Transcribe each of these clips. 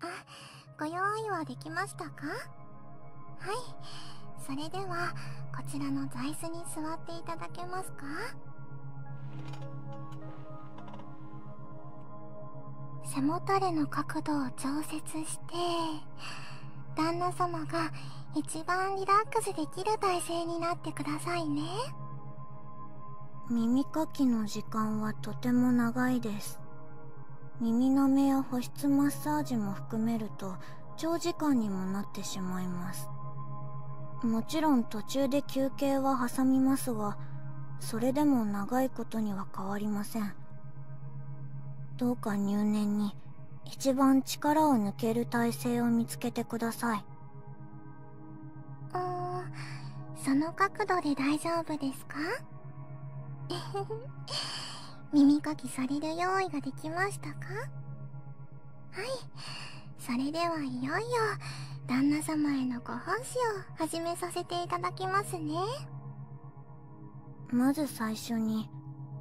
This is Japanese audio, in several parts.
あご用意はできましたかはいそれではこちらの座椅子に座っていただけますか背もたれの角度を調節して旦那様が一番リラックスできる体勢になってくださいね耳かきの時間はとても長いです耳の目や保湿マッサージも含めると長時間にもなってしまいますもちろん途中で休憩は挟みますがそれでも長いことには変わりませんどうか入念に一番力を抜ける体勢を見つけてくださいうんその角度で大丈夫ですか耳かきされる用意ができましたかはいそれではいよいよ旦那様へのご奉仕を始めさせていただきますねまず最初に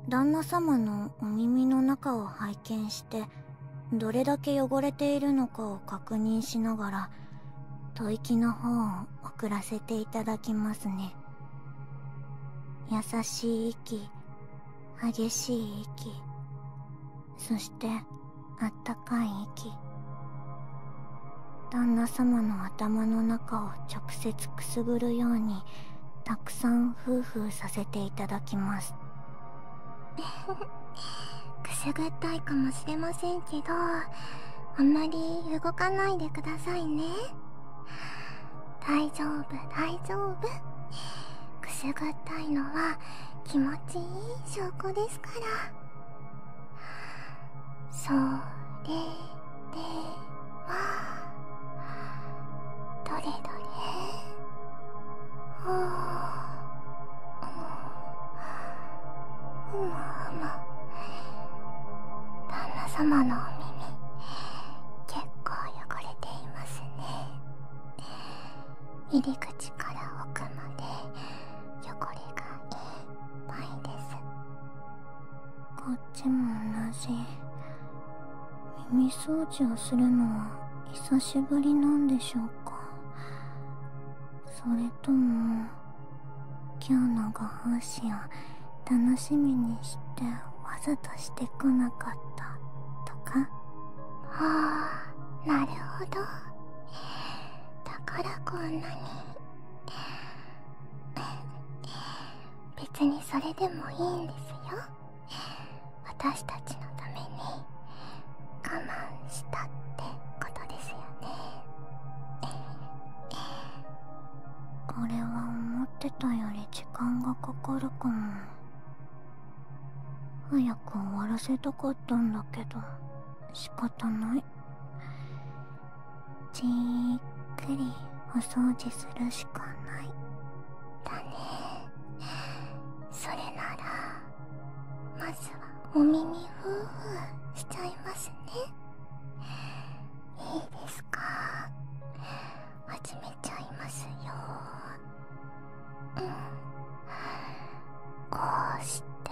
旦那様のお耳の中を拝見してどれだけ汚れているのかを確認しながらは吐息の方を送らせていただきますね優しい息激しい息そしてあったかい息旦那様の頭の中を直接くすぐるようにたくさんフーフーさせていただきます くすぐったいかもしれしれませんけどあんまり動かないでくださいね大丈夫大丈夫くすぐったいのは気持ちいい証拠ですからそれではどれどれほうむむ旦那様のお耳結構汚れていますね入り口から奥まで汚れがいっぱいですこっちも同じ耳掃除をするのは久しぶりなんでしょうかそれとも今日のご奉仕を楽しみにしてわざとしてこなかったとかはあなるほどだからこんなに別にそれでもいいんですよ私たちのために我慢したってことですよねこれは思ってたより時間がかかるかも早く終わらせたかったんだけど仕方ないじっくりお掃除するしかないだねそれならまずはお耳ふーふーしちゃいますねいいですか始めちゃいますようんこうしてうん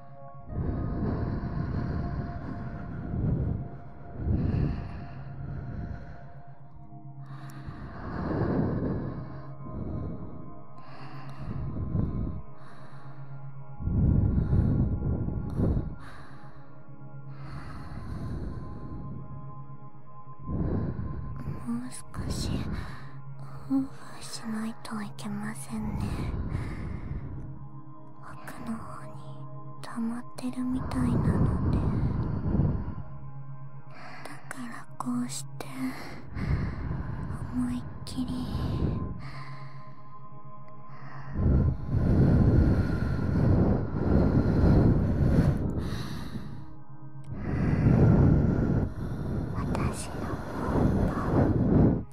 もう少しオーしないといけませんね奥の方に溜まってるみたいなのでだからこうして思いっきり。私のポンポ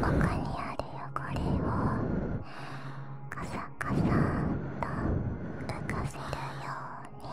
ここにある汚れをカサカサと浮かせるように。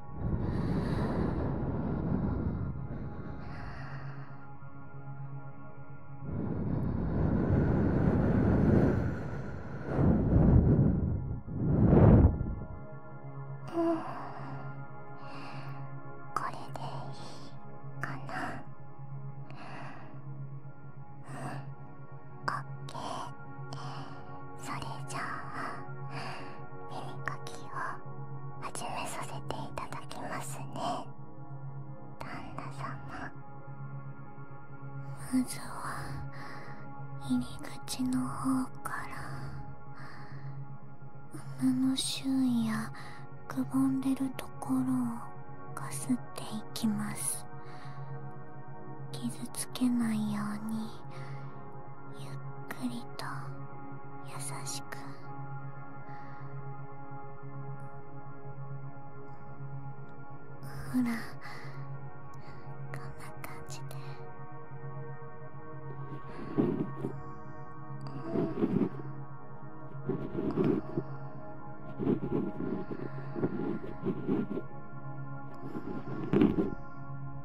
うんこれでいいかなうんオッケーそれじゃあ耳かきを始めさせていただきますね旦那様まずは入り口の方から胸の周囲やくぼんでるところをかすっていきます傷つけないようにゆっくりと優しくほらこんな感じで。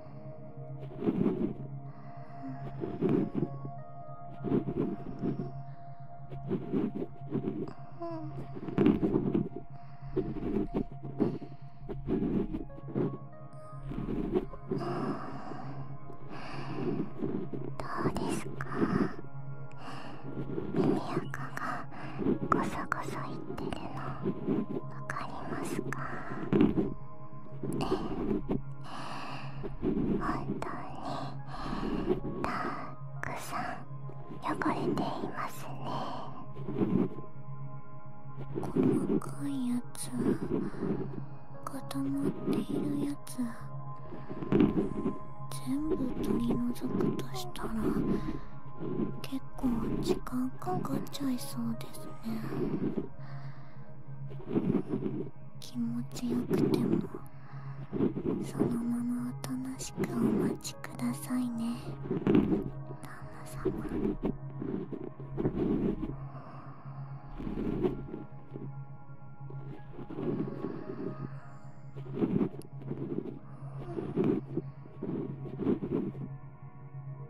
どうですか耳垢がごそごそいってるのわかりますかえほんとにたっくさん汚れていますね細かいやつ固まっているやつ全部取り除くとしたら結構時間かかっちゃいそうですね気持ちよくてもそのままおとなしくお待ちくださいね旦那様ゴ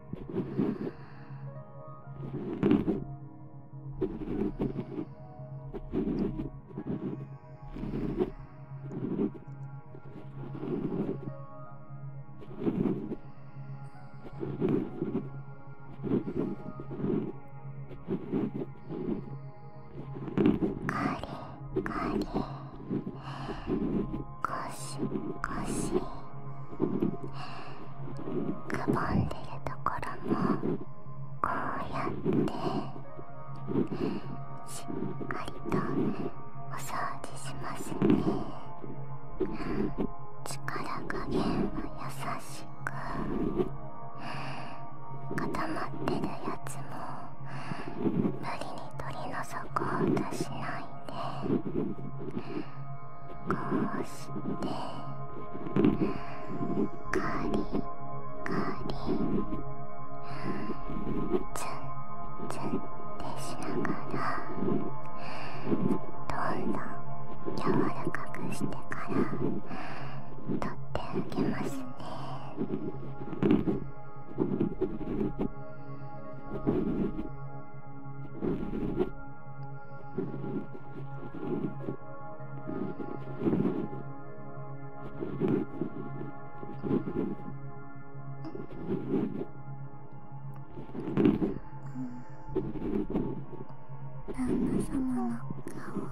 シゴシくぼんでるところもこうやってしっかりとお掃除しますね力加減は優しく固まってるやつも無理に取り除こうとしないで。こうしてカリカリツンツンってしながらどんどん柔らかくしてから取ってあげますね。旦那様の顔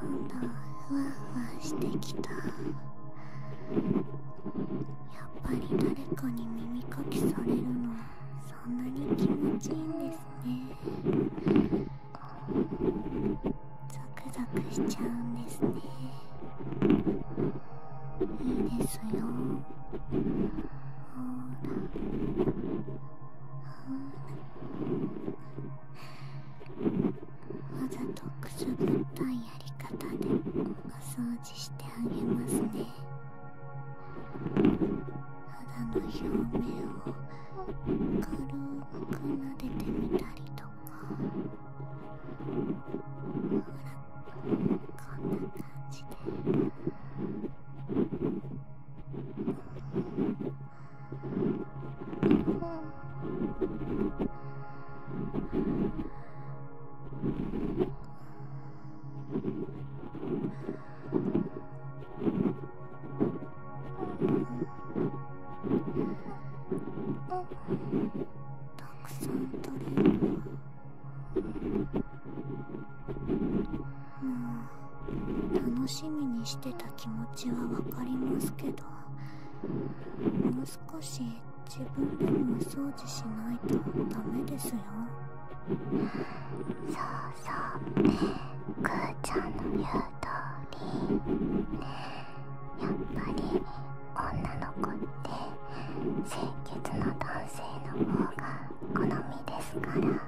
どんどんふわふわしてきたやっぱり誰かに耳かきされるのこんなに気持ちいいんですねザクザクしちゃうんですねいいですよほらほらわざとくすぐったいやり方でお掃除してあげますね。肌の表面を軽く撫でてみたりとかほらこんな感じで。たくさん取れるうん楽しみにしてた気持ちはわかりますけどもう少し自分でもお掃除しないとダメですよ。そうそうくーちゃんの言う通りやっぱり女の子って清潔な男性の方が好みですから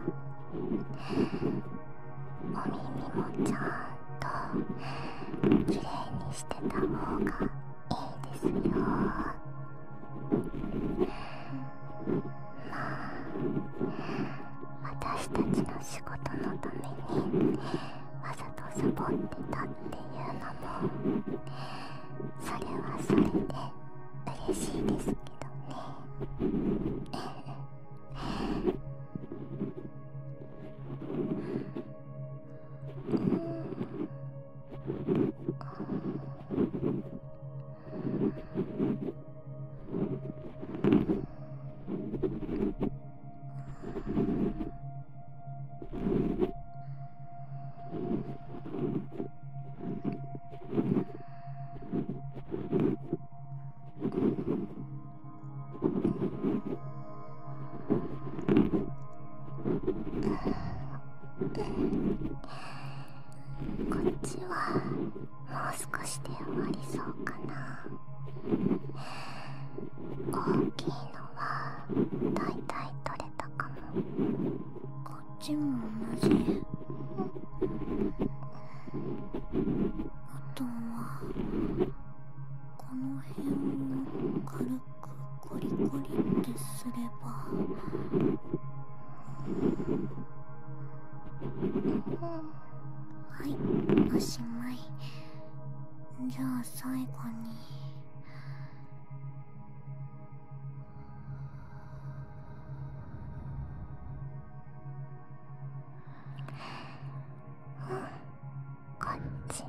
お耳もちゃんときれいにしてた方がいいですよ。まあ私たちの仕事のためにわざとサボってたっていうのもそれはそれで嬉しいですけどね。うん、こっちはもう少しで終わりそうかな大きいのはだいたい取れたかもこっちも同じ、あとはこの辺を軽くコリコリってすれば。はいおしまいじゃあ最後にうんこっちも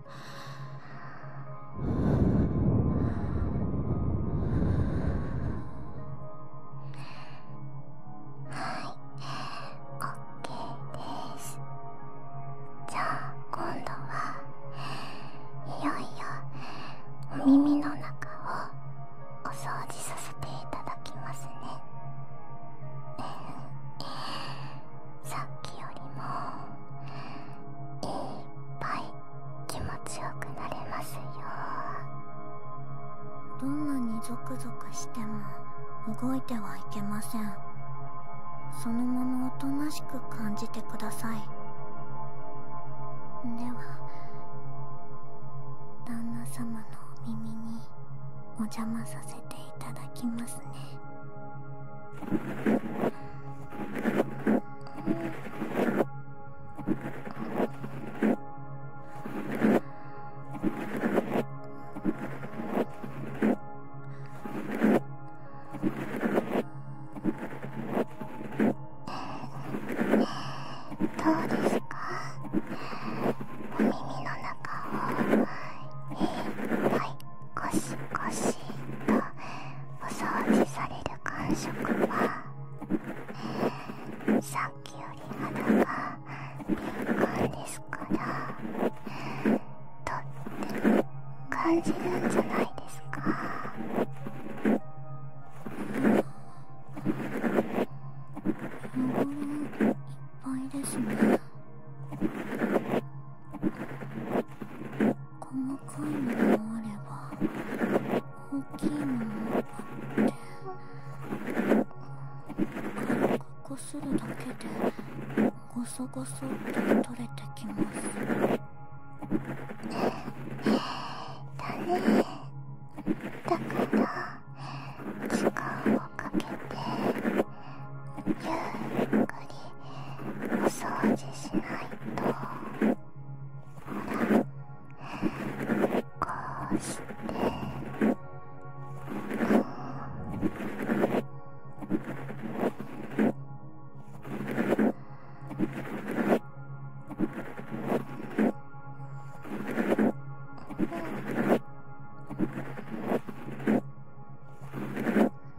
OK ですじゃあ今度はいよいよ耳の中をお掃除させていただきますねさっきよりもいっぱい気持ちよくなれますよどんなにゾクゾクしても動いてはいけませんそのままおとなしく感じてくださいでは旦那様のお耳にお邪魔させていただきますね。どうですかお耳の中を、えー、はいゴシゴシえっとお掃除される感触は、さっきより肌が敏感ですからとっても感じるんじゃないですか。うんいっぱいですね。細かいものもあれば大きいものもあって軽くこするだけでゴソゴソって取れてきますだねだから時間をかけて。ゆっくりお掃除しないとほらこうしてう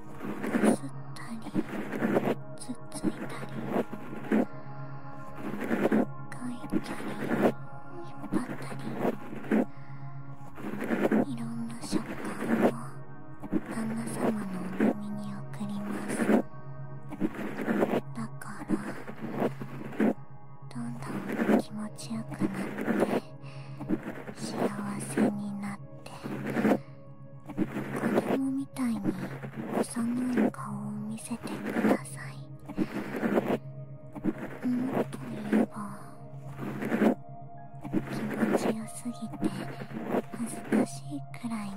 吸ったりつついたりかったり引っ張ったりいろんな食感を旦那様のお耳に送りますだからどんどん気持ちよくなって幸せになって子供みたいに幼い顔を見せてくださいもっと言えば気持ちよすぎて恥ずかしいくらい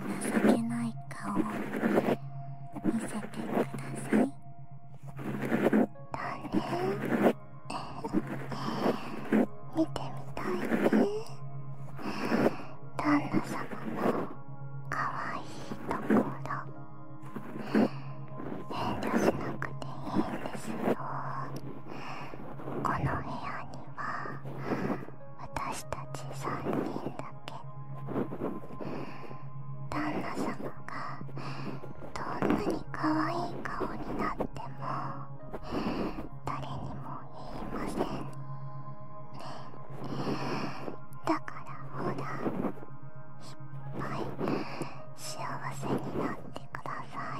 情けない顔見せてくださいだね見てみたいね旦那様のかわいいところ遠慮しなくていいんですよこの部屋には私たち3人だけ旦那様がどんなに可愛い顔になっても誰にも言いませんだからほらいっぱい幸せになってください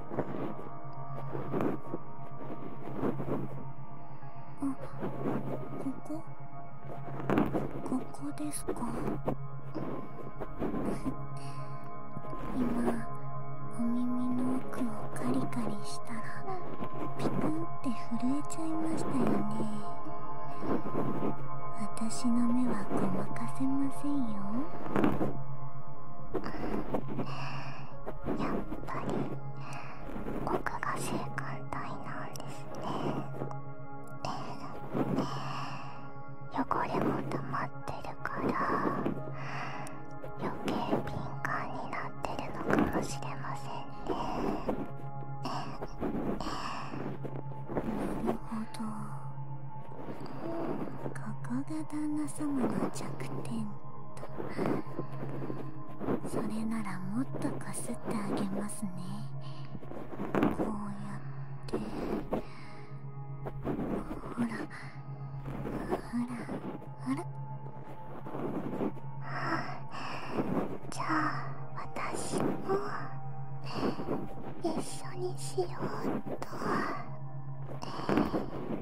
ここここですか今お耳の奥をカリカリしたらピクンって震えちゃいましたよね私の目はごまかせませんよやっぱり奥が性感帯なんですね、えー、汚れも溜まってるから余計敏感になってるのかもしれませんねなるほどここが旦那様の弱点とそれならもっとかすってあげますねこうやってほらほらほらじゃあ私も一緒にしようっと。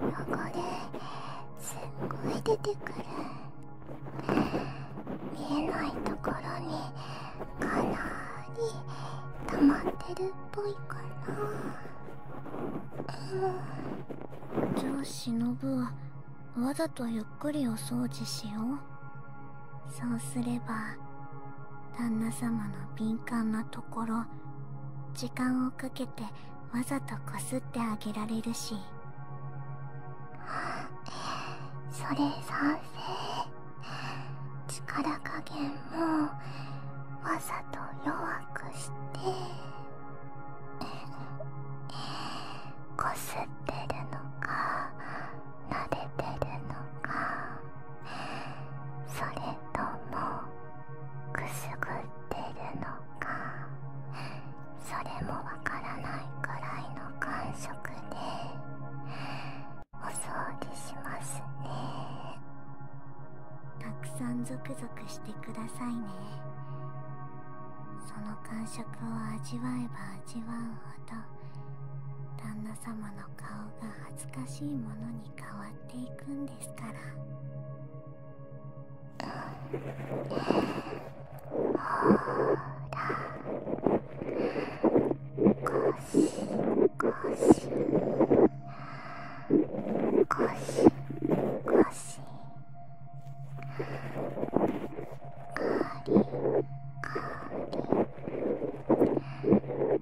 汚れすっごい出てくる見えないところにかなり溜まってるっぽいかな、ん、じゃあ忍はわざとゆっくりお掃除しようそうすれば旦那様の敏感なところ時間をかけてわざとこすってあげられるし それ賛成力加減もわざと弱くして こすってるのか慣れてるのかそれともくすぐってるのかそれもわからないくらいの感触でお掃除しますねたくさんゾクゾクしてくださいねその感触を味わえば味わうほど旦那様の顔が懐しいものに変わっていくんですからほりかりかりかりかりかりかりかりり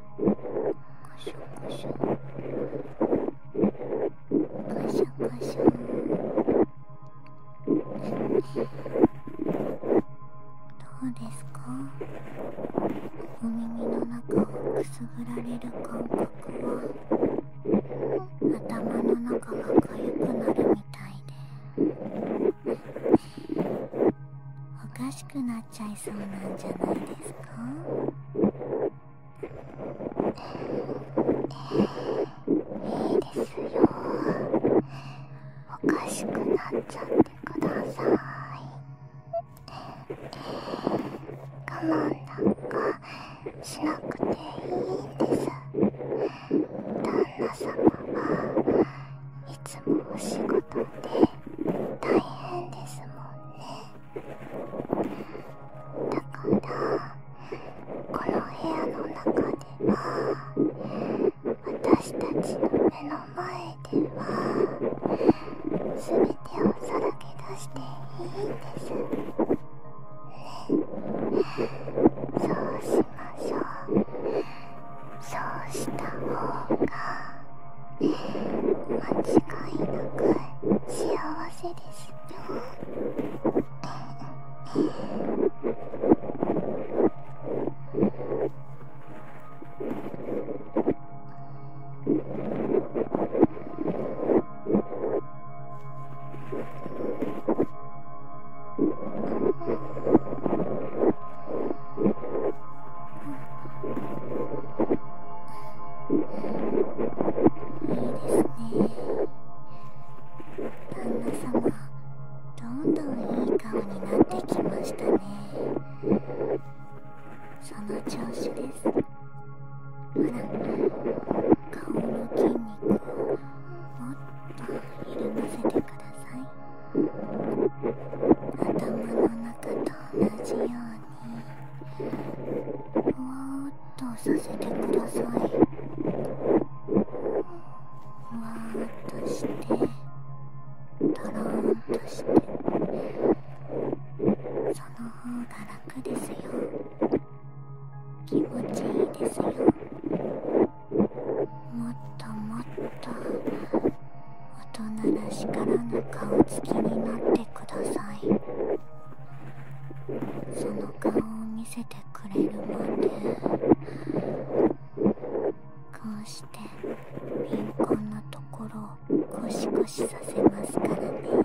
シュガシュガシュガシュどうですかお耳の中をくすぐられる感覚は頭の中がかゆくなるみたいでおかしくなっちゃいそうなんじゃないですかいいですよおかしくなっちゃってください我慢なんかしなくていいんです旦那様はいつもお仕事で大変ですもんねだから、この部屋の中では私たちの目の前では全てをさらけ出していいんですねそうしましょうそうした方が間違いなく幸せですいいですね。旦那様どんどんいい顔になってきましたねその調子ですほら顔の筋肉をもっと緩ませてください頭の中と同じようにわーっとさせてくださいわーっとしてとろーんとしてその方が楽ですよ気持ちいいですよもっともっと大人らしからぬ顔つきになってくださいその顔を見せてくれるまでこうして貧困なところをコシコシさせますからね、うんうん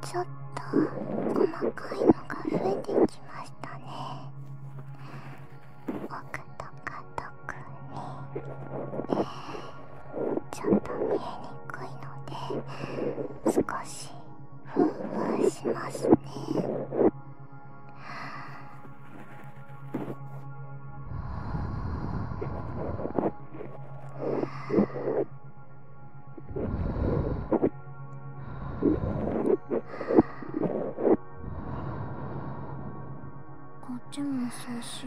ちょっと細かいのが増えてきましたね奥とか特にちょっと見えにくいので少しふんわりしますね。こっちもそうし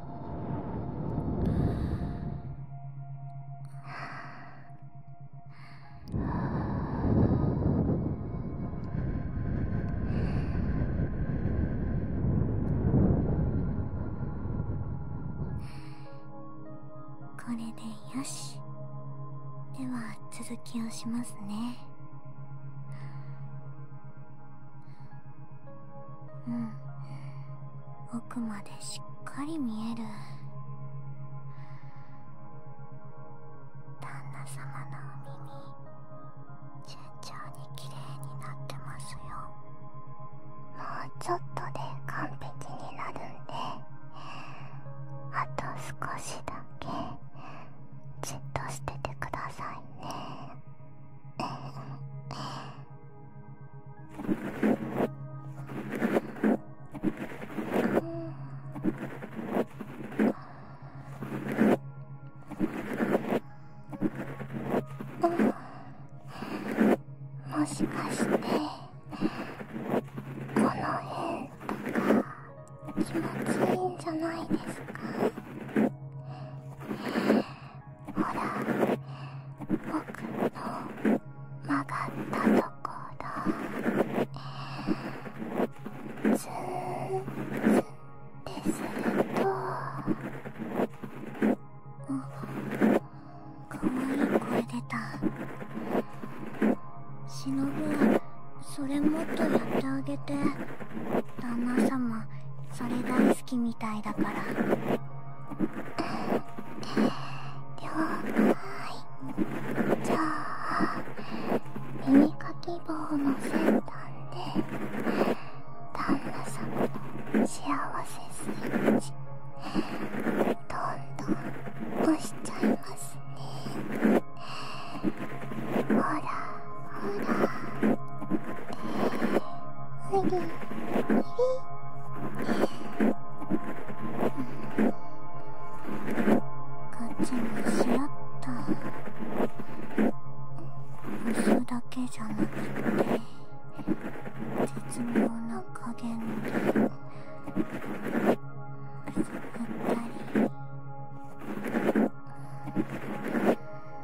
はこれでよしでは続きをしますねうん奥までしっかり見える旦那様のお耳順調に綺麗になってますよもうちょっとで完璧になるんであと少しだけじっとしててくださいねもしかしてこの辺とか気持ちいいんじゃないですかほら僕の曲がったところずーっとするとかわいい声出たしのぶそれもっとやってあげて旦那様それだけ好きみたいだから了解じゃあ耳かき棒の先端で旦那様の幸せスイッチどんどん押しちゃいますねほらほらガチにしらった薄だけじゃなくて絶妙な加減で触ったり。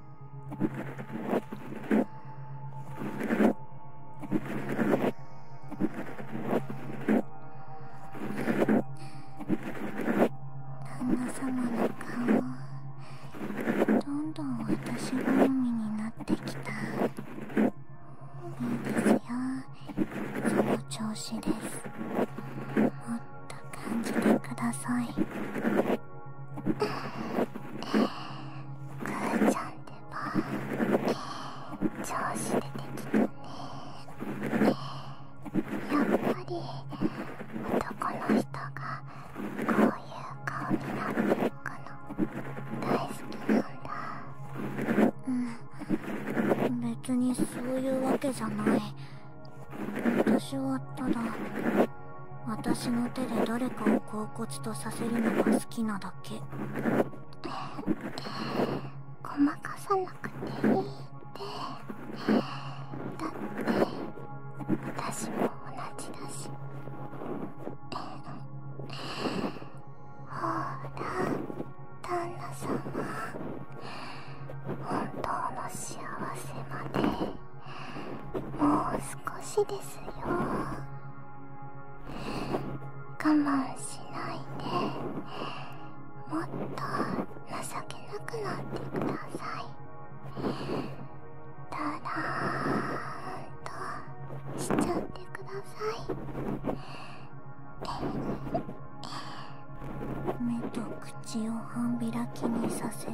旦那様の顔どんどん私好みになってきたいいですよその調子ですもっと感じてくださいーちゃんでは、えー、調子出てきたね、えー、やっぱり男の人がこういう顔になっていくの大好きなんだうん別にそういうわけじゃない私はただ私の手で誰かを恍惚とさせるのが好きなだけごまかさなくていいってだって私も同じだしほら旦那様本当の幸せまでもう少しですよ我慢しないでもっと情けなくなってくださいだらーんとしちゃってください目と口を半開きにさせて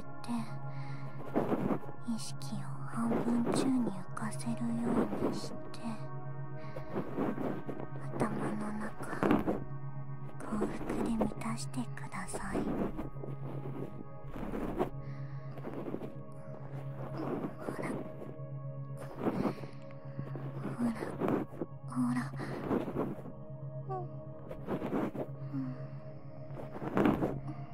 意識を半分宙に浮せるようにして頭の中幸福で満たしてください。ほらほらほら。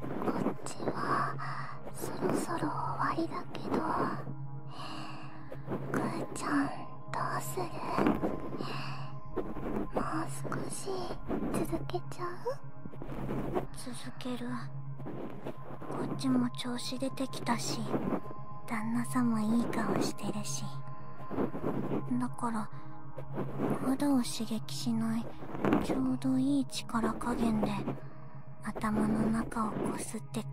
こっちはそろそろ終わりだけどくーちゃんどうするもう少し続けちゃう続けるこっちも調子出てきたし旦那さんもいい顔してるしだから肌を刺激しないちょうどいい力加減で頭の中をこすってく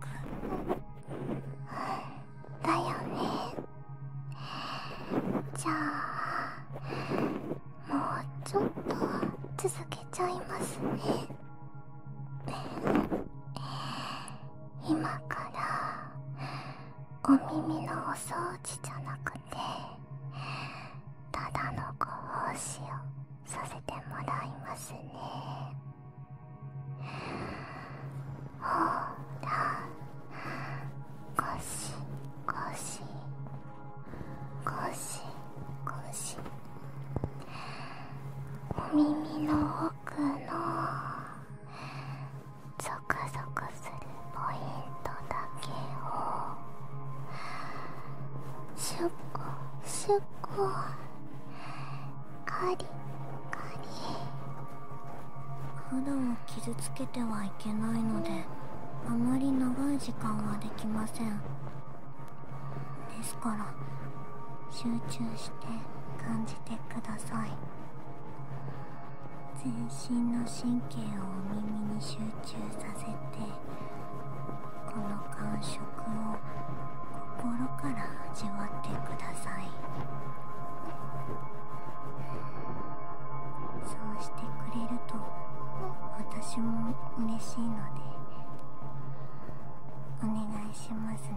だよねじゃあもうちょっと続けちゃいますね今からお耳のお掃除じゃなくてただのご奉仕をさせてもらいますねほらごしごしごしごしお耳の奥のゾクゾクするポイントだけをシュッコシュッコカリカリ肌を傷つけてはいけないのであまり長い時間はできませんですから集中して感じてください全身の神経をお耳に集この感触を心から味わってくださいそうしてくれると私も嬉しいのでお願いしますね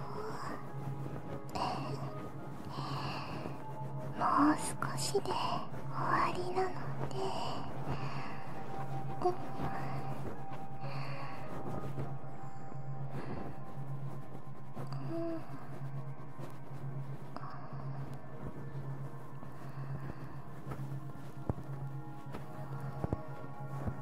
もう少しで終わりなので、うん、うん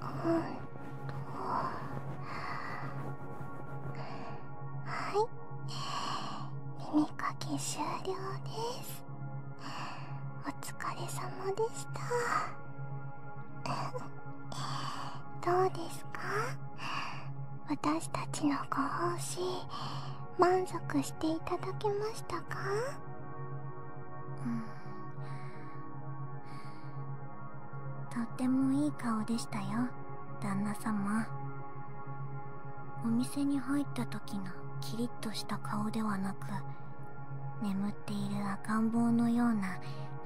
はい耳かき終了ですお疲れ様でしたどうですか私たちのご奉仕満足していただけましたかとってもいい顔でしたよ旦那様お店に入った時のキリッとした顔ではなく眠っている赤ん坊のような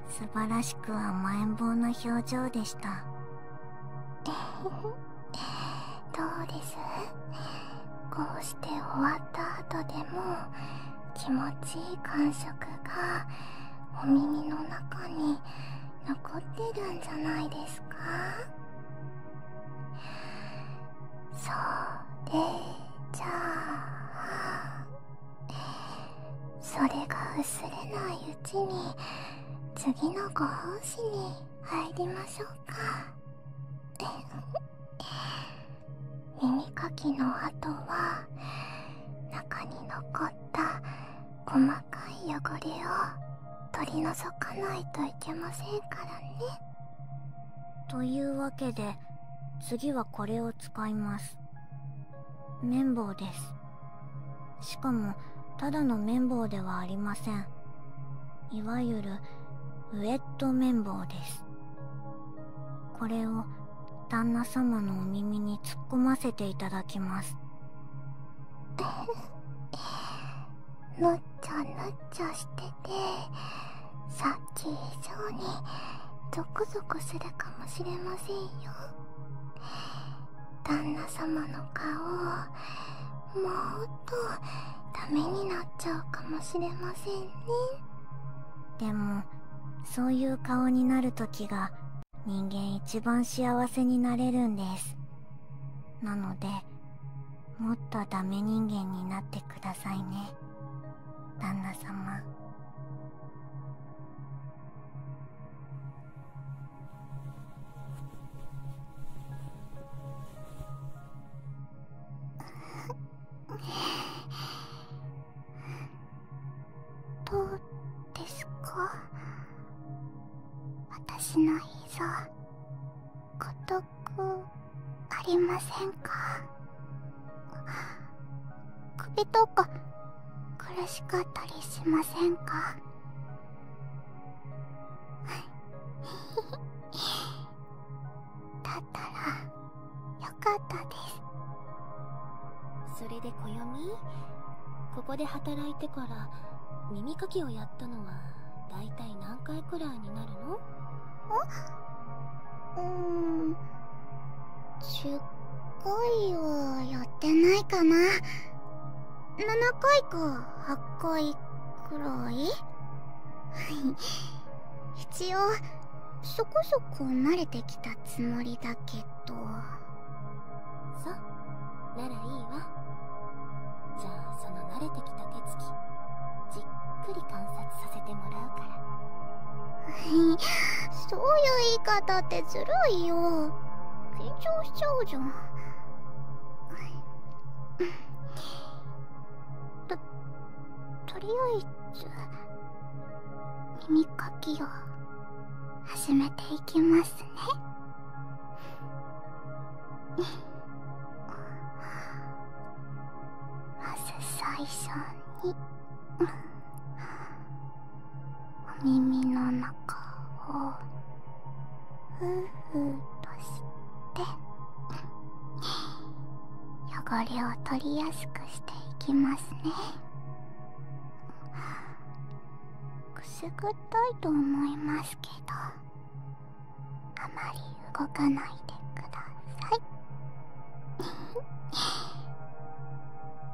素晴らしく甘えん坊な表情でした どうですこうして終わった後でも気持ちいい感触がお耳の中に残ってるんじゃないですかそれじゃあそれが薄れないうちに次のご奉仕に入りましょうか耳かきの跡は中に残った細かい汚れを取り除かないといけませんからねというわけで次はこれを使います綿棒ですしかもただの綿棒ではありませんいわゆるウエット綿棒ですこれを旦那様のお耳に突っ込ませていただきますの っちゃのっちゃしててさっき以上にゾクゾクするかもしれませんよ旦那様の顔もっとダメになっちゃうかもしれませんねでもそういう顔になる時が人間一番幸せになれるんですなのでもっとダメ人間になってくださいね旦那様 どうですか私のいいぞ孤独ありませんか首とか苦しかったりしませんか だったらよかったですそれで暦ここで働いてから耳かきをやったのはだいたい何回くらいになるのうーん10回はやってないかな7回か8回くらいはい 一応そこそこ慣れてきたつもりだけどそうならいいわじゃあその慣れてきた手つきじっくり観察させてもらうから そういう言い方ってずるいよ緊張しちゃうじゃん ととりあえず耳かきを始めていきますね まず最初にお耳の中をふうふうとして汚れを取りやすくしていきますねくすぐったいと思いますけどあまり動かないでください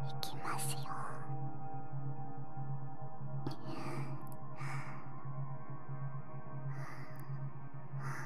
いきますよははあ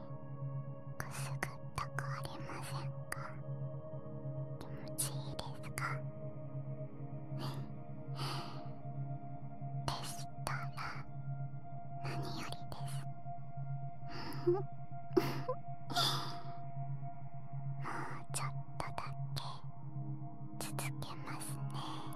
くすぐったくありませんか気持ちいいですかでしたら何よりです もうちょっとだけ続けますね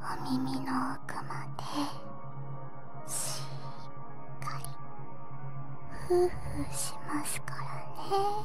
お耳の奥までしっかりふうふうしますからね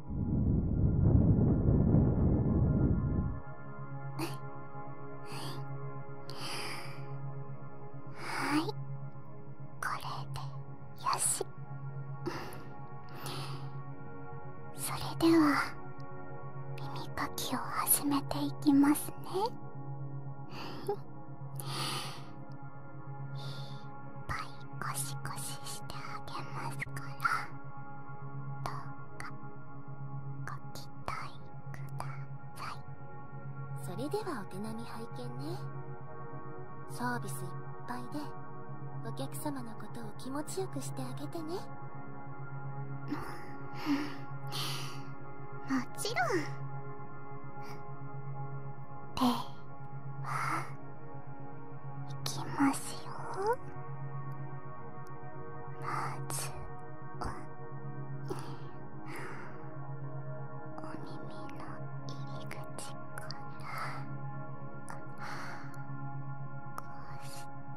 はいこれでよしそれでは耳かきを始めていきますねいっぱい。ゴシゴシしてあげますからどうかご期待くださいそれではお手並み拝見ねサービスいっぱいでお客様のことを気持ちよくしてあげてねもちろんではいきますよまずはお耳の入り口からこうして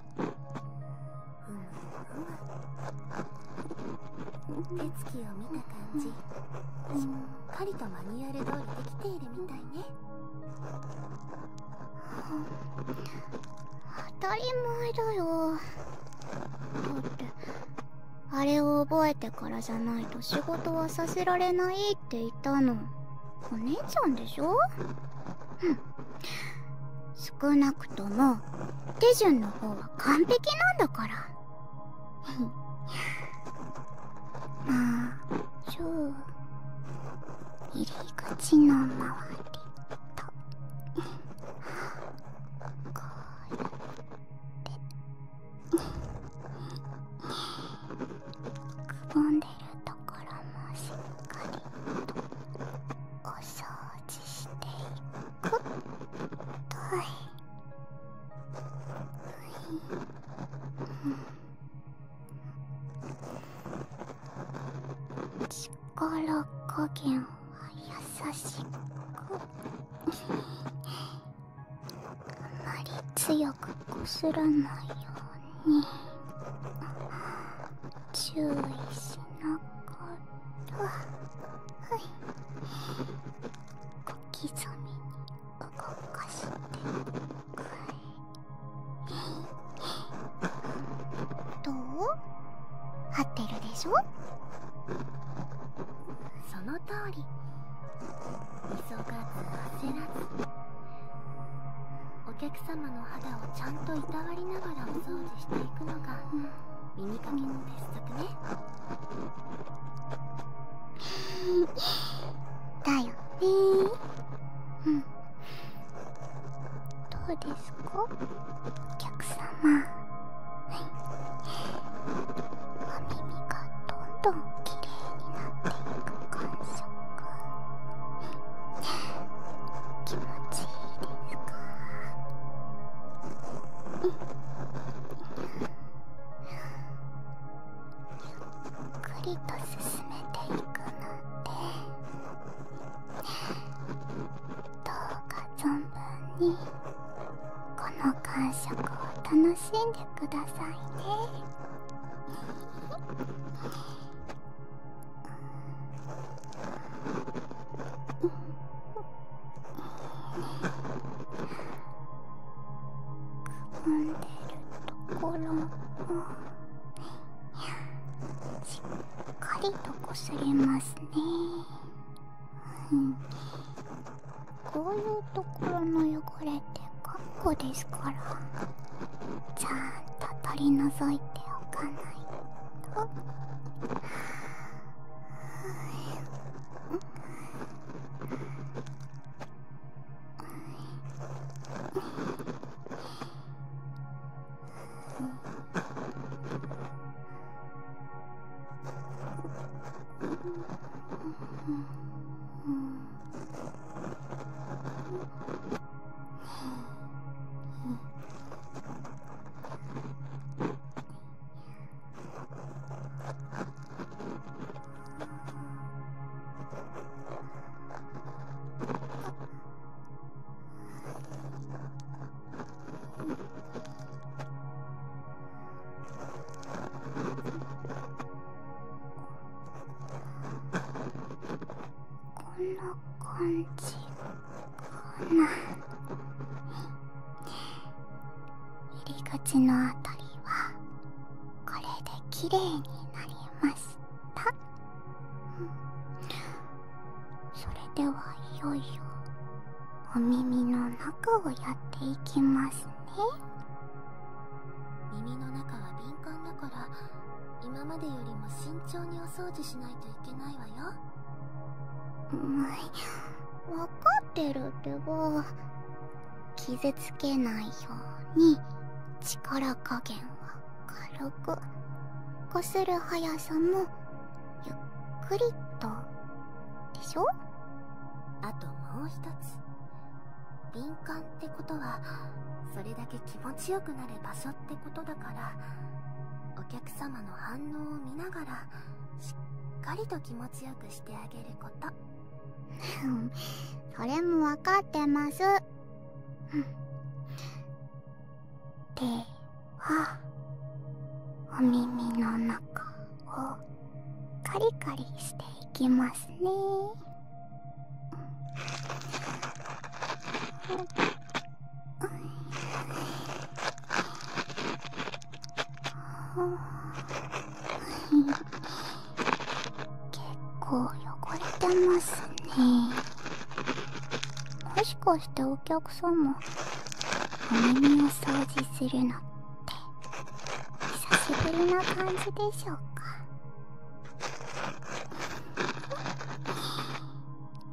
うん手つきを見た感じ、うん、しっかりとマニュアル通りできているみたいね、当たり前だよだってあれを覚えてからじゃないと仕事はさせられないって言ったのお姉ちゃんでしょ少なくとも手順の方は完璧なんだからまあじゃあ入り口の周りとこうやってくぼんでるとともしっかりとお掃除していくとい。力加減は優しくあまり強くこすらないように。注意しなかったはい小刻みに動かしてくいどう合ってるでしょその通り急がず焦らずお客様の肌をちゃんといたわりながらお掃除していくのが、うん、耳かけの鉄則ねだよねうんどうですかお客様はいお耳がどんどん綺麗になっていく感じ気持ちいいですかゆっくりと進めていくのでどうか存分にこの感触を楽しんでくださいね。うくぼんでるところもしっかりとこすれますね、こういうところの汚れってかっこですからちゃんと取り除いておかないと。こんな感こんな入り口のあたりはこれできれいになりました、それではいよいよお耳の中をやっていきますね耳の中は敏感だから今までよりも慎重にお掃除しないといけないわようん分かってるって傷つけないように力加減は軽くこする速さもゆっくりとでしょあともう一つ敏感ってことはそれだけ気持ちよくなる場所ってことだからお客様の反応を見ながらしっかりと気持ちよくしてあげることそれも分かってますではお耳の中をカリカリしていきますね結構汚れてますねもしかしてお客さんもお耳を掃除するのって久しぶりな感じでしょうか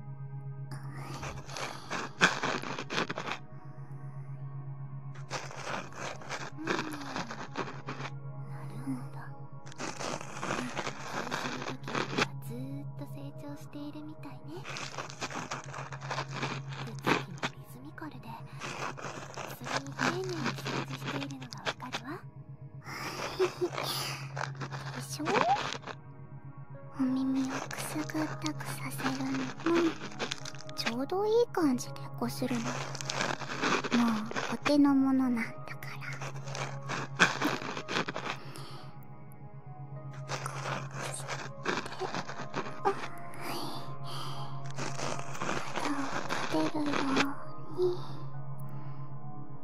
うん、なるるほど。か時はずっと成長していいみたね。もリズミカルでそれに丁寧に掃除しているのがわかるわでしょお耳をくすぐったくさせるのもちょうどいい感じでこするのももうお手のものなんだからこうしてあはい肌を立てるように。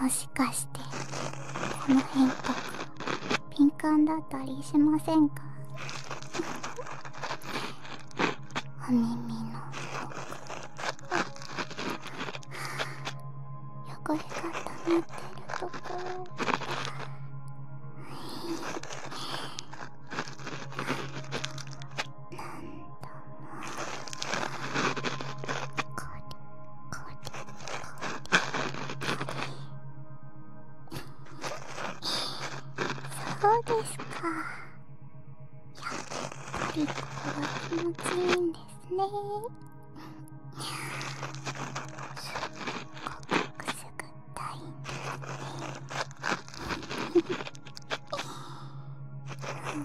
もしかしてこの辺とか敏感だったりしませんか お耳のあ、奥汚れが溜まってるところおそうですかやっぱりここは気持ちいいんですねごくすぐったいんですね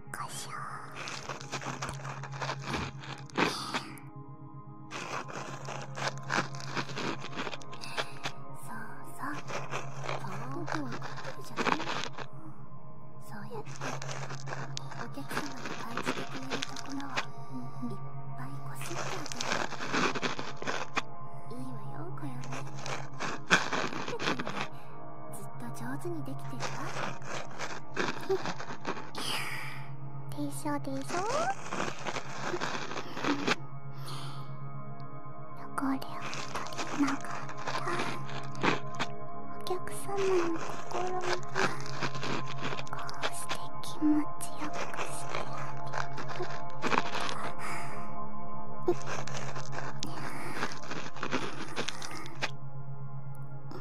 こしょそうそう僕は勝てるじゃないそうやってお客様に感じてくれるところをいっぱいこすってあげるいいわよこよね。っててのにずっと上手にできてるわでしょでしょ汚れを取りながらお客様の心がこうして気持ちよくしてあげて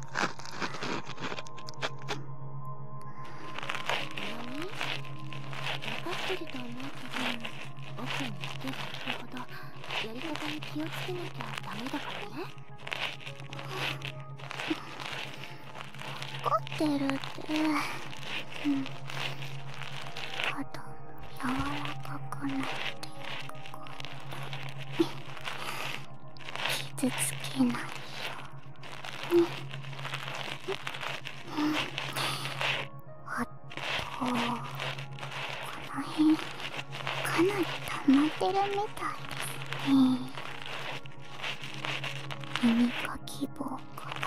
ってると思うけど奥に行ける。行ほどやり方に気をつけなきゃダメだからね分かってるってうんあと柔らかくなっていくこと傷つけないよあとこの辺かなり溜まってるみたいですね耳かき棒から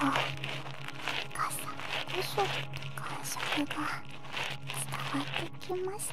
傘でしょ感触が伝わってきました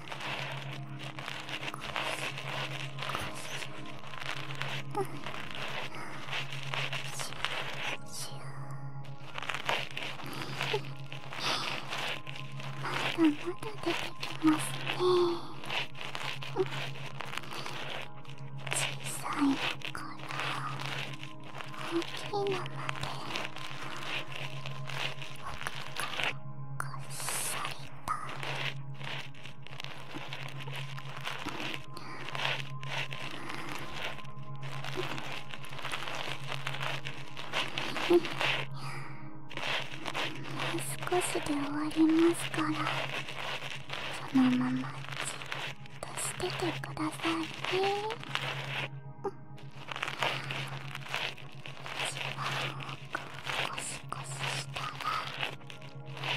ししまだまだ出てきますね小さいのから大きいのまで奥からこっそりたうん少しで終わりますからそのままじっとしててくださいね、うん、一番くしシししたら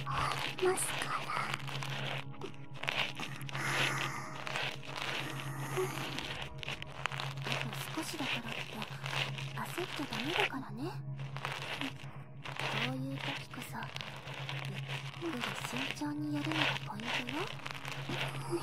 ありますからあと少しだからって焦っちゃダメだからねこういう時こそゆっくり慎重にやるのがポイントよ優しく優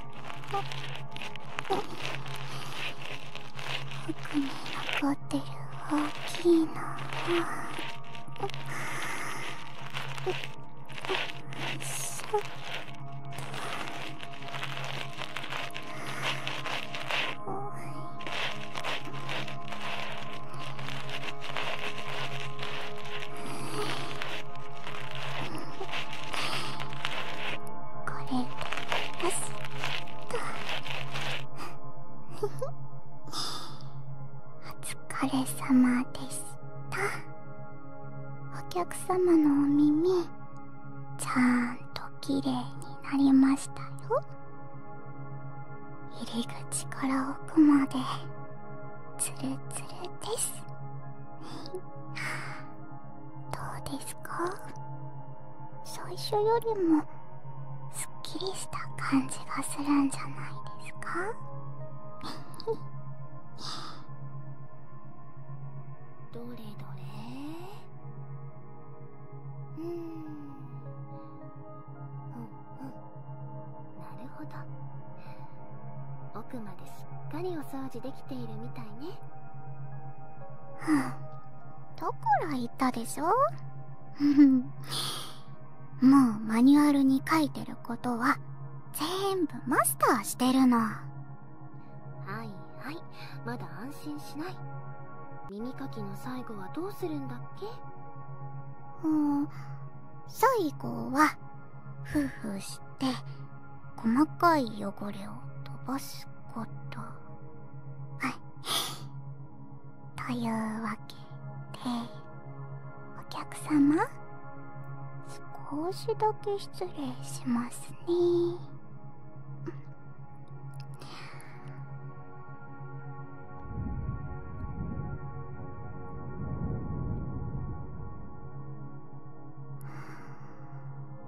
奥に残ってる大きいのこれパスッとお疲れ様でしたお客様のお耳ちゃんときれいになりましたよ入り口から奥までつるつるですどうですか最初よりもすっきりした感じがするんじゃないですか どれどれうーんなるほど奥まですっかりお掃除できているみたいねはあだから言ったでしょ もうマニュアルに書いてることは全部マスターしてるのはいはいまだ安心しない耳かきの最後はどうするんだっけうん最後はふふして細かい汚れを飛ばすことはいというわけでお客様少しだけ失礼しますねは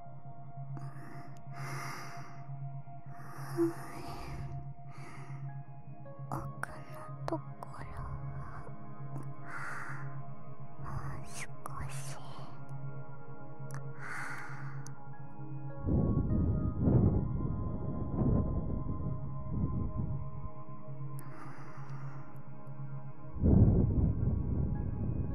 奥のところもう少し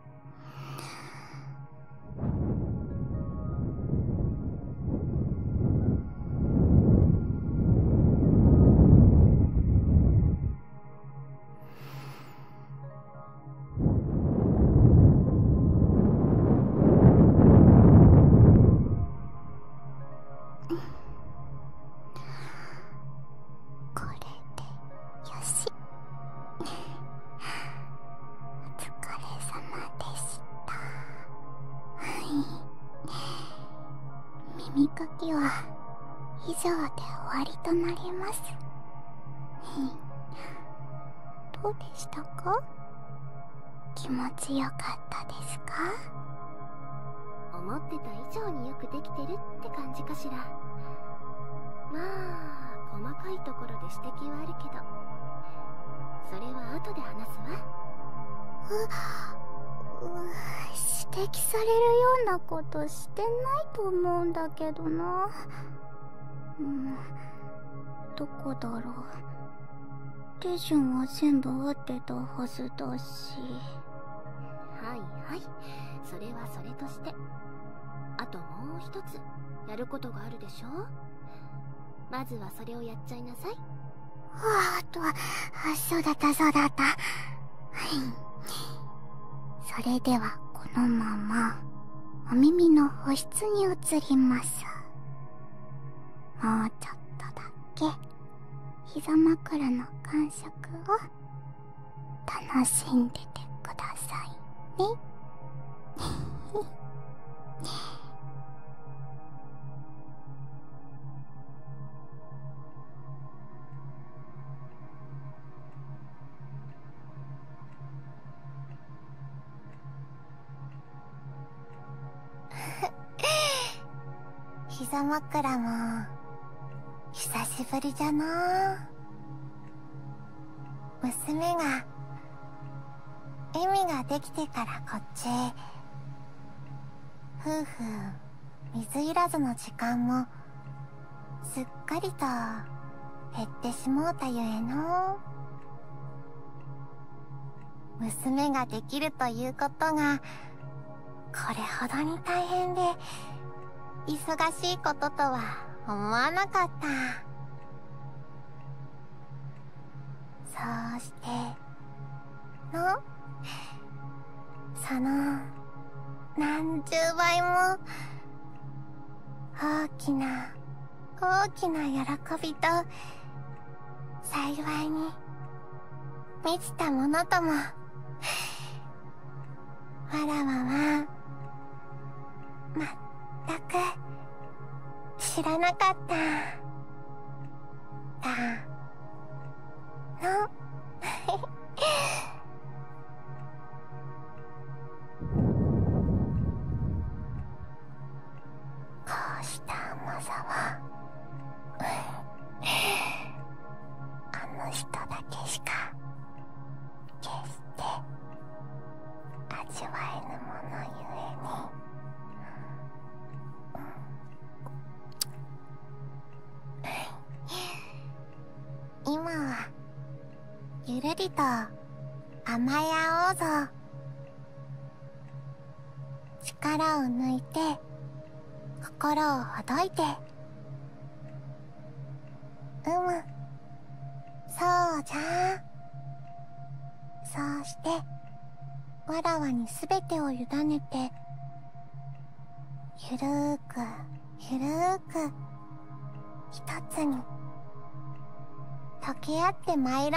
これでしお疲れ様でしたはい耳かきは以上で終わりとなりますどうでしたか気持ちよかったですか思ってた以上によくできてるって感かしらまあ細かいところで指摘はあるけどそれは後で話すわ指摘されるようなことしてないと思うんだけどなうんどこだろう手順は全部合ってたはずだしはいはいそれはそれとしてあともう一つやることがあるでしょまずはそれをやっちゃいなさいああとそうだったそうだったはいそれではこのままお耳の保湿に移りますもうちょっとだけ膝枕の感触を楽しんでてくださいね 膝枕も久しぶりじゃな娘がエミができてからこっち夫婦水いらずの時間もすっかりと減ってしもうたゆえの娘ができるということがこれほどに大変で忙しいこととは思わなかった。そうしてのその何十倍も大きな大きな喜びと幸いに満ちたものともわらわはまったく知らなかっただの こうした甘さはあの人だけしか決して味わえぬものゆえに、今はゆるりと甘え合おうぞ力を抜いて心をほどいてうむそうじゃそうしてわらわにすべてをゆだねてゆるーくゆるーくとつにとけあってまいろうぞ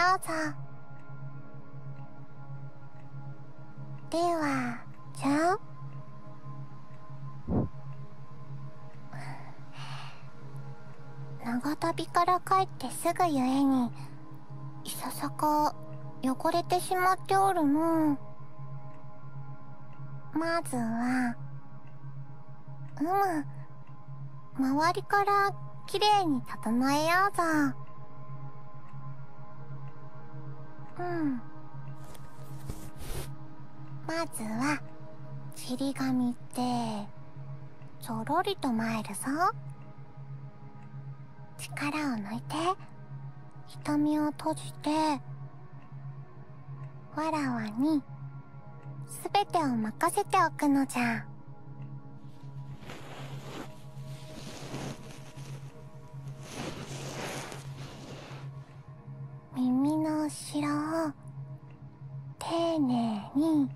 ではじゃん長旅から帰ってすぐゆえにいささか汚れてしまっておるのまずはうむ周りからきれいに整えようぞうんまずはちり紙って。ちょろりと参るぞ力を抜いて瞳を閉じてわらわに全てを任せておくのじゃ耳の後ろを丁寧に、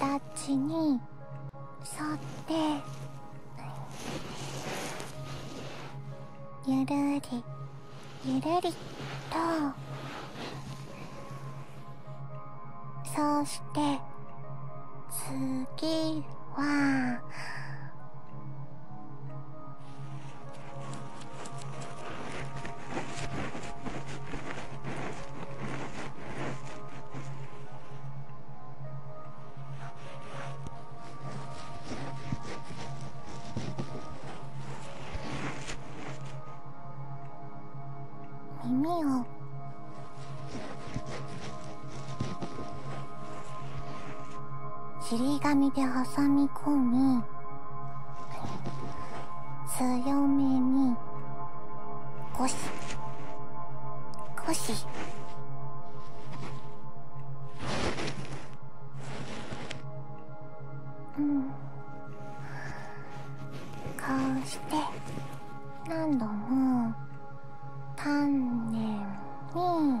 形に沿ってゆるりゆるりとそうして次は耳をり紙で挟み込み強めにゴシゴシうんこうして何度も丹念にうん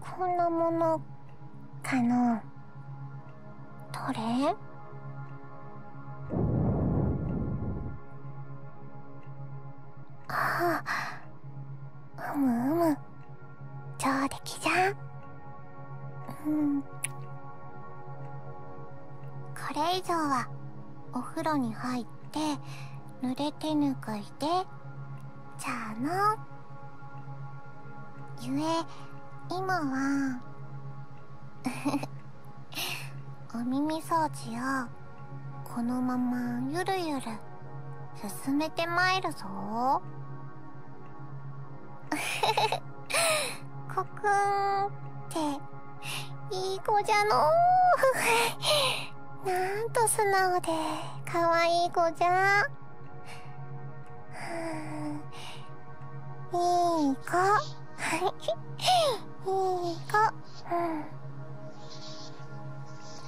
こんなものかのどれああうむうむ上出来じゃんうんこれ以上はお風呂に入って濡れてぬぐいでじゃあな。ゆえ今は お耳掃除をこのままゆるゆる進めてまいるぞ コクンっていい子じゃのう なんと素直で可愛い子じゃいい子いい子、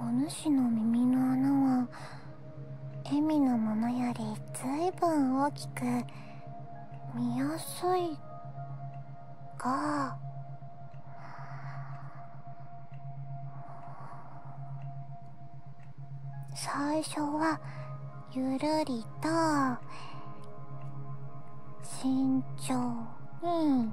おぬしの耳の穴はエミのものよりずいぶん大きく見やすいが最初はゆるりと慎重に。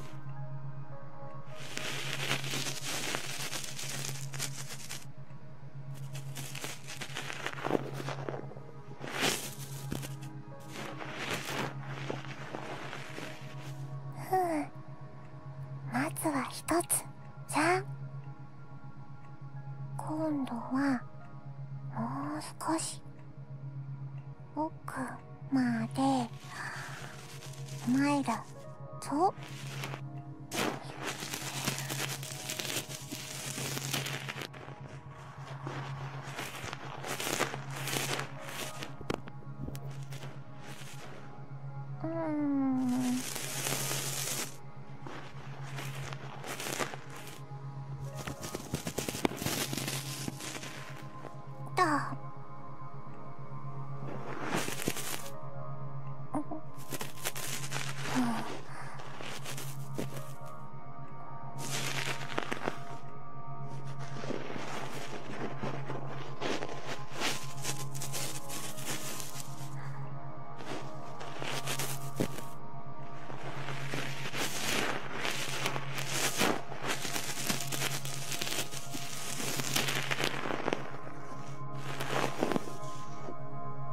ふうまずは一つじゃん今度はもう少し奥までお参るぞうんと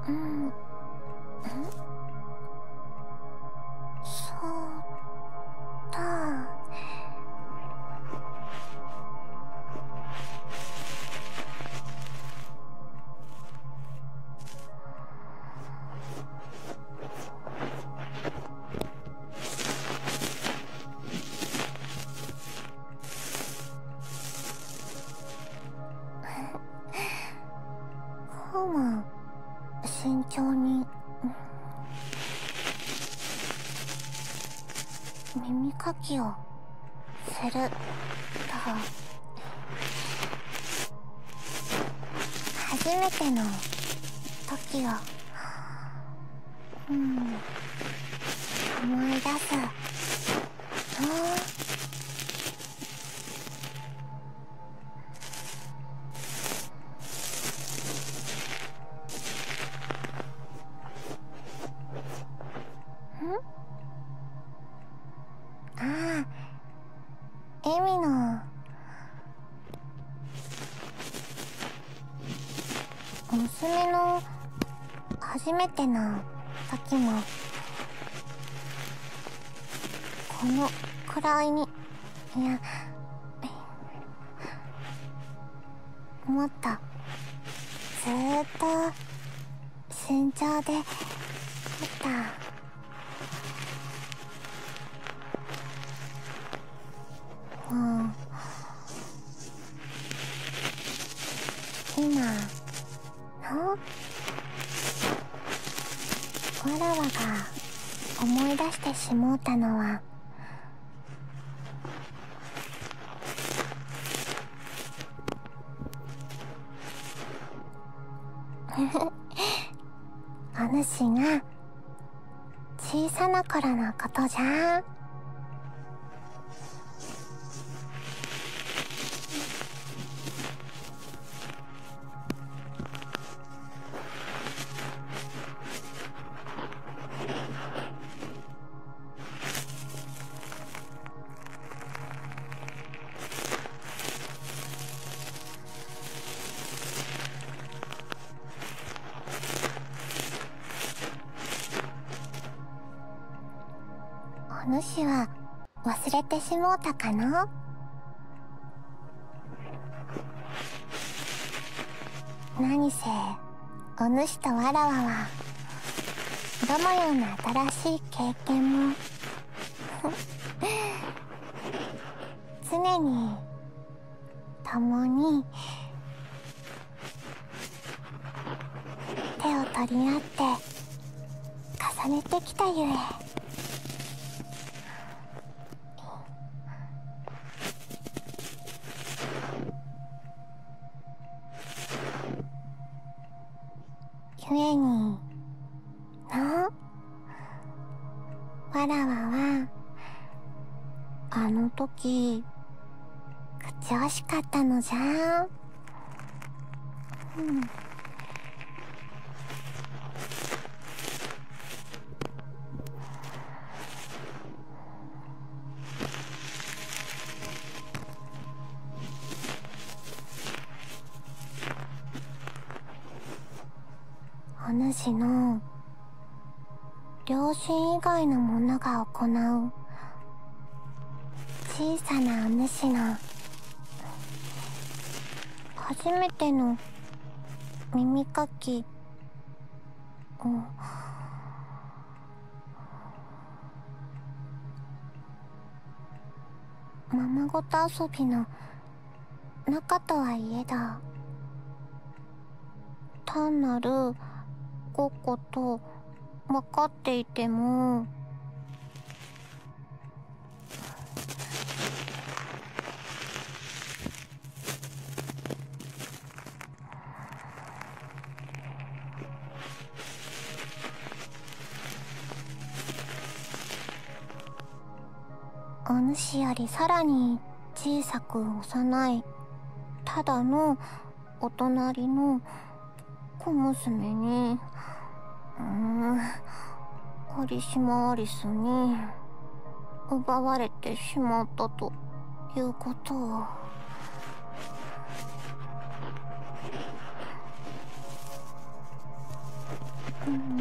うんそうだこうは慎重に耳かきをすると。初めての時をうん思い出すああエミの娘の初めてな時もこのくらいにいやもっとずっと慎重で撮った。もう今のわらわが思い出してしもうたのはフフお主が小さな頃のことじゃん。お主は忘れてしもうたかの何せお主とわらわはどのような新しい経験も常に共に手を取り合って重ねてきたゆえゆえになわらわはあの時口惜しかったのじゃうんお主の両親以外の者が行う小さなお主の初めての耳かきをままごと遊びの中とはいえだ単なるごっこと分かっていてもお主よりさらに小さく幼いただのお隣の小娘にうん堀島アリスに奪われてしまったということを。うん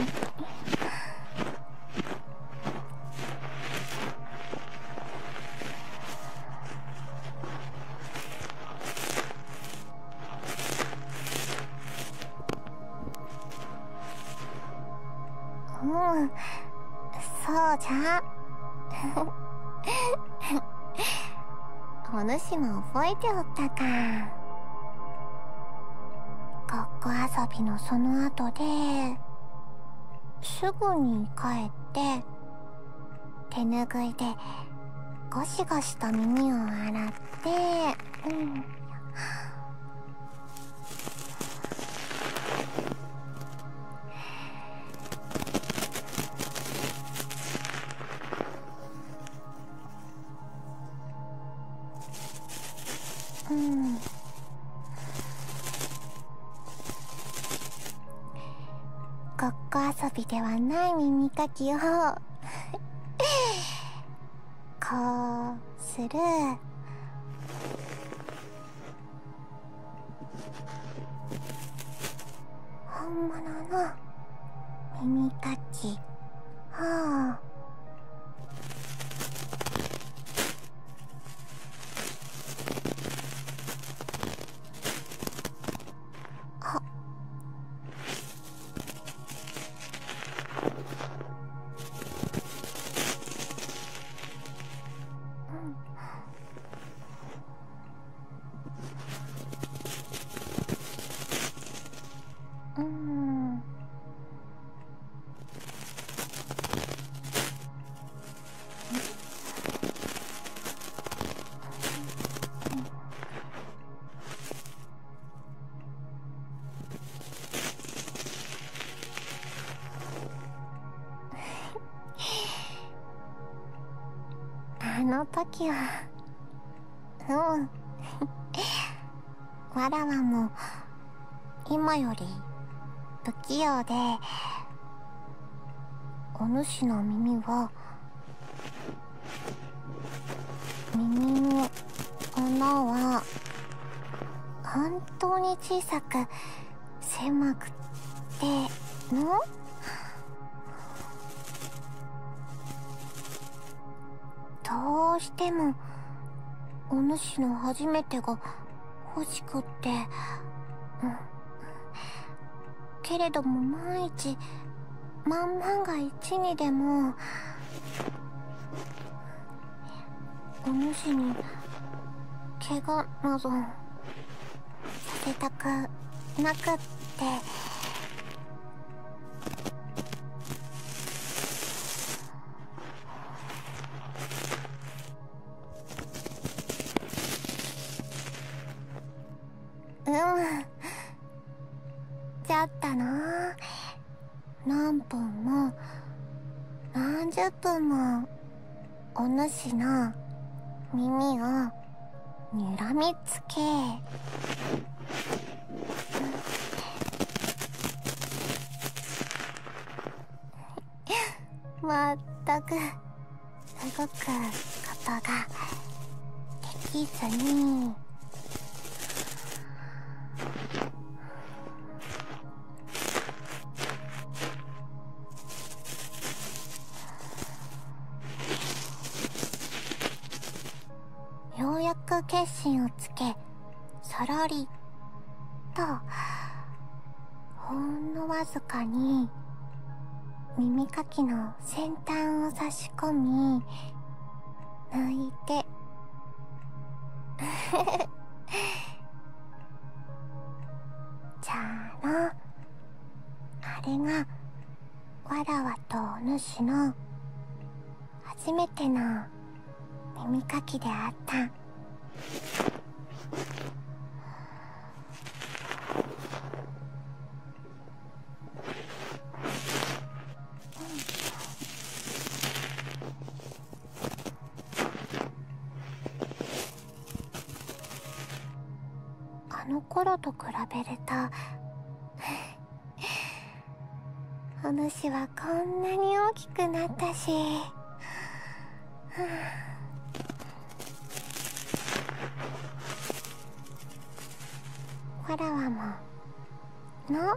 うんそうじゃ お主も覚えておったかごっ遊びのその後ですぐに帰って手ぬぐいでゴシゴシと耳を洗ってうん。ごっこ遊びではない耳かきをこうする本物の耳かきを。あうんうんあの時はうんわらわも今より不器用でお主の耳は耳の穴は本当に小さく狭くてのどうしてもお主の初めてが欲しくて、うん、けれども万一万々が一にでもお主に怪我などされたくなくってうんちゃったな何分も何十分もお主の耳をにらみつけまったくすごくことができずにようやく決心をつけさらりとほんのわずかに耳かきの先端を差し込み抜いて じゃあのあれがわらわとお主の初めての耳かきであったあのころと比べると お主はこんなに大きくなったしわらわもの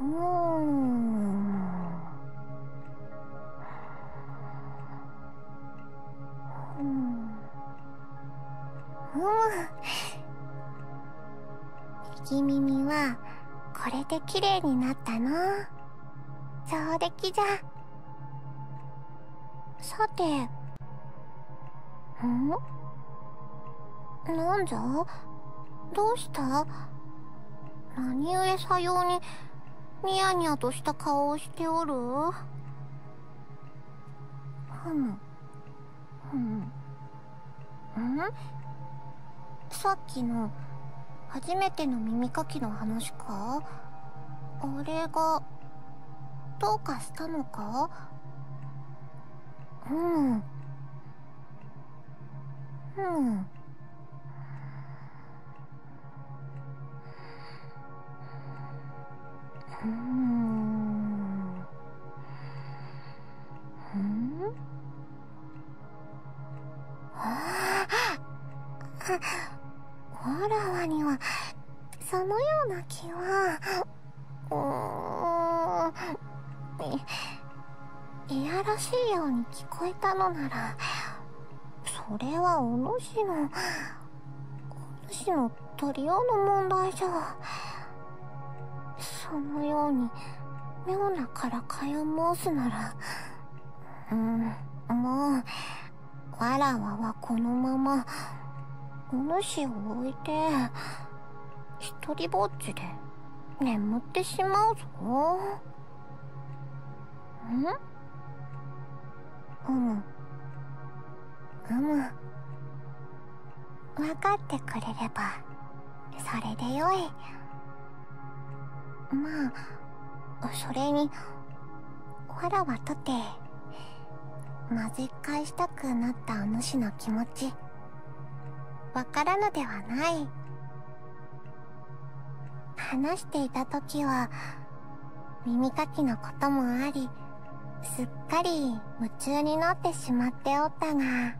ううううん。ん。ん。ん。右耳はこれで綺麗になったの上出来じゃさてんなんじゃどうした何故さようにニヤニヤとした顔をしておるふむふむんさっきの初めての耳かきの話かあれがどうかしたのかうんうんうんうんああわらそのような気はうーんいやらしいように聞こえたのならそれはお主のお主のトリオの問題じゃそのように妙なからかいを申すならうんもうわらわはこのままおぬしを置いてひとりぼっちで眠ってしまうぞんうむうむ分かってくれればそれでよいまあそれにわらわとて混ぜ返したくなったお主の気持ちわからぬではない話していた時は耳かきのこともありすっかり夢中になってしまっておったが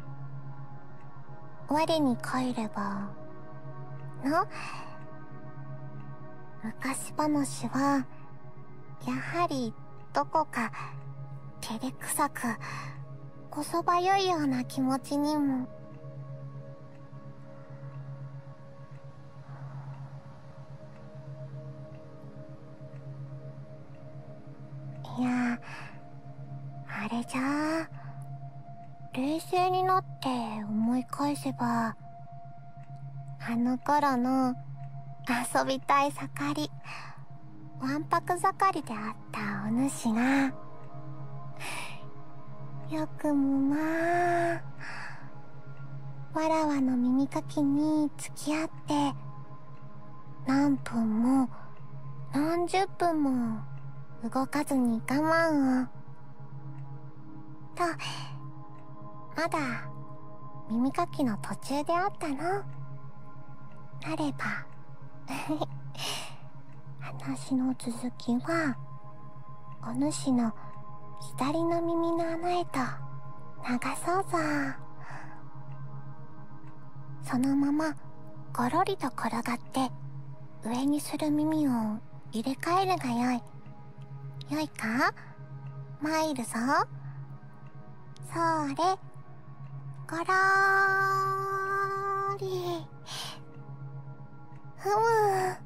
我に帰ればの昔話はやはりどこか照れくさくこそばゆいような気持ちにもいやあれじゃあ冷静になって思い返せばあの頃の遊びたい盛りわんぱく盛りであったお主がよくもまあわらわの耳かきに付き合って何分も何十分も動かずに我慢をとまだ耳かきの途中であったのなれば 話の続きはお主の左の耳の穴へと流そうぞそのままゴロリと転がって上にする耳を入れ替えるがよいよいか参るぞ。それ、ごろーり。ふむ。